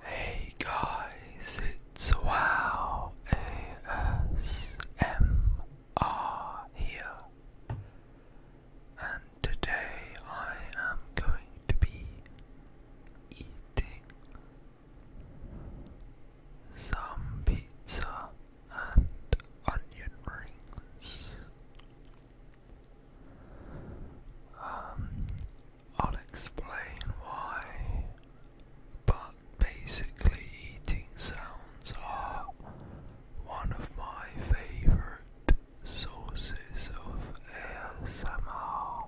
Hey guys, it's Wow ASMR here, and today I am going to be eating some pizza and onion rings. Um, I'll explain why, but basically, eating sounds are one of my favorite sources of ASMR.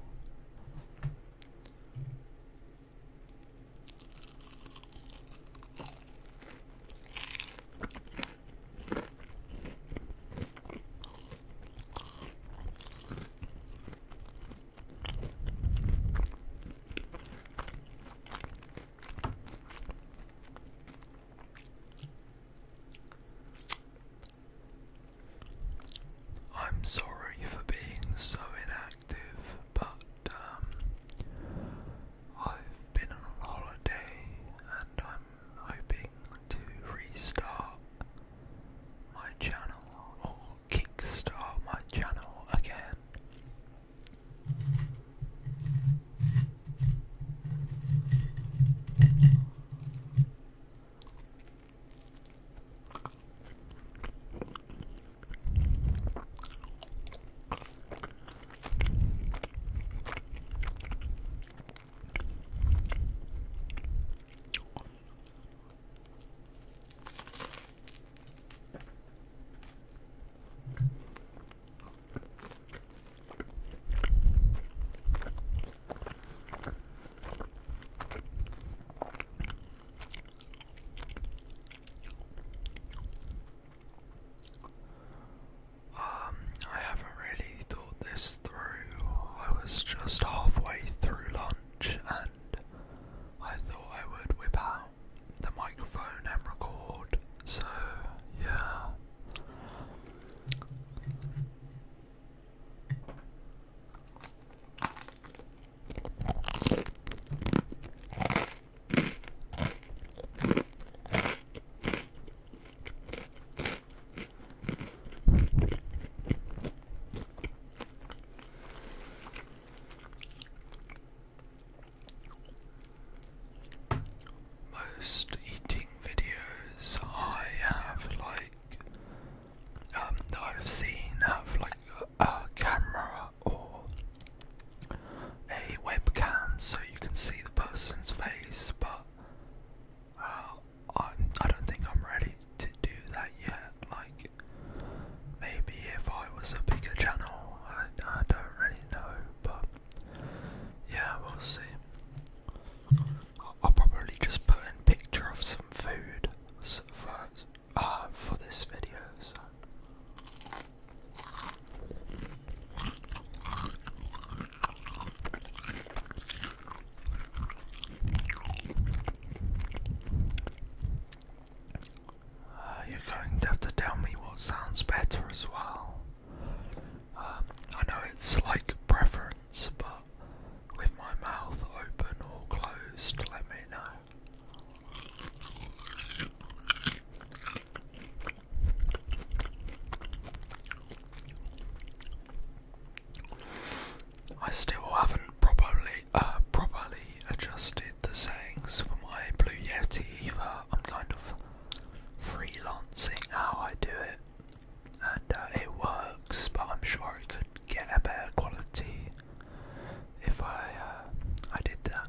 I'm sorry for being so inactive, but um, I've been on holiday and I'm hoping to restart my channel or oh, kickstart my channel again. Um, I haven't really thought this through. I was just halfway through lunch and I thought I would whip out the microphone and record. So, yeah. Most eating videos I have, like, um, I've seen have, like, a, camera or a webcam so you can see the person's face, but uh, I, I don't think I'm ready to do that yet. Like, maybe if I was a bigger channel, I, I don't really know, but yeah, we'll see. I'll, probably just put in picture of some food for, uh, for this video. Uh, you're going to have to tell me what sounds better as well. Um, I know it's like preference, but with my mouth open or closed, let me know. I still haven't properly uh, properly adjusted the sayings for my Blue Yeti either. I'm kind of freelancing how I do it, and uh, it works, but I'm sure I could get a better quality if I uh, I did that.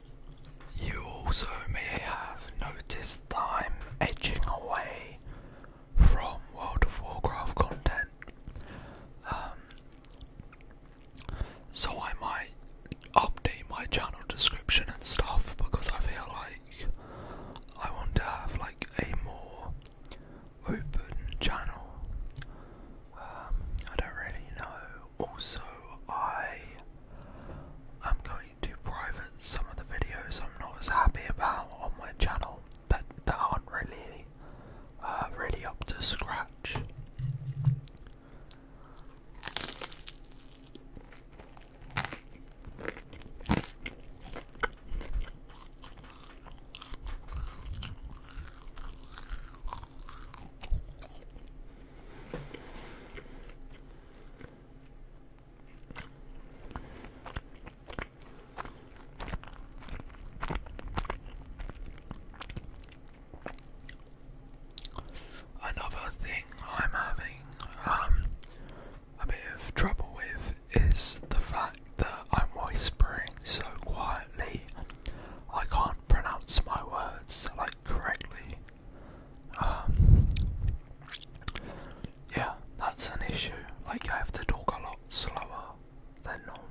You also may have noticed that I'm edging away from World of Warcraft content. Um, so I might update my channel description and stuff because I feel like I want to have like a more open channel. Um, I don't really know. Also, I am going do private some of the videos I'm not as happy about on my channel that that aren't really uh, really up to scratch. Another thing I'm having um, a bit of trouble with is the fact that I'm whispering so quietly I can't pronounce my words like correctly. Um, yeah, that's an issue. Like, I have to talk a lot slower than normal.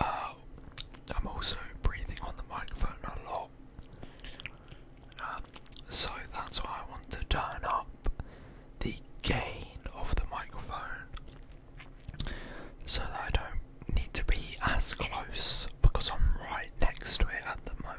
Oh, I'm also breathing on the microphone a lot, um, so that's why I want to turn up the gain of the microphone so that I don't need to be as close because I'm right next to it at the moment.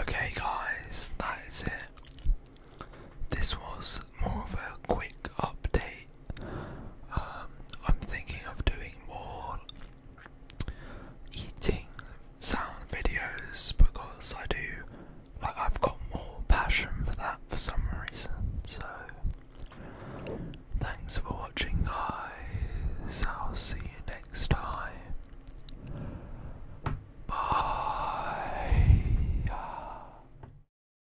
Okay, guys, that is it. This was more of a quick update um, I'm thinking of doing more eating sound videos because I do like I've got more passion for that for some reason. So thanks for watching guys. I'll see you next time. Bye.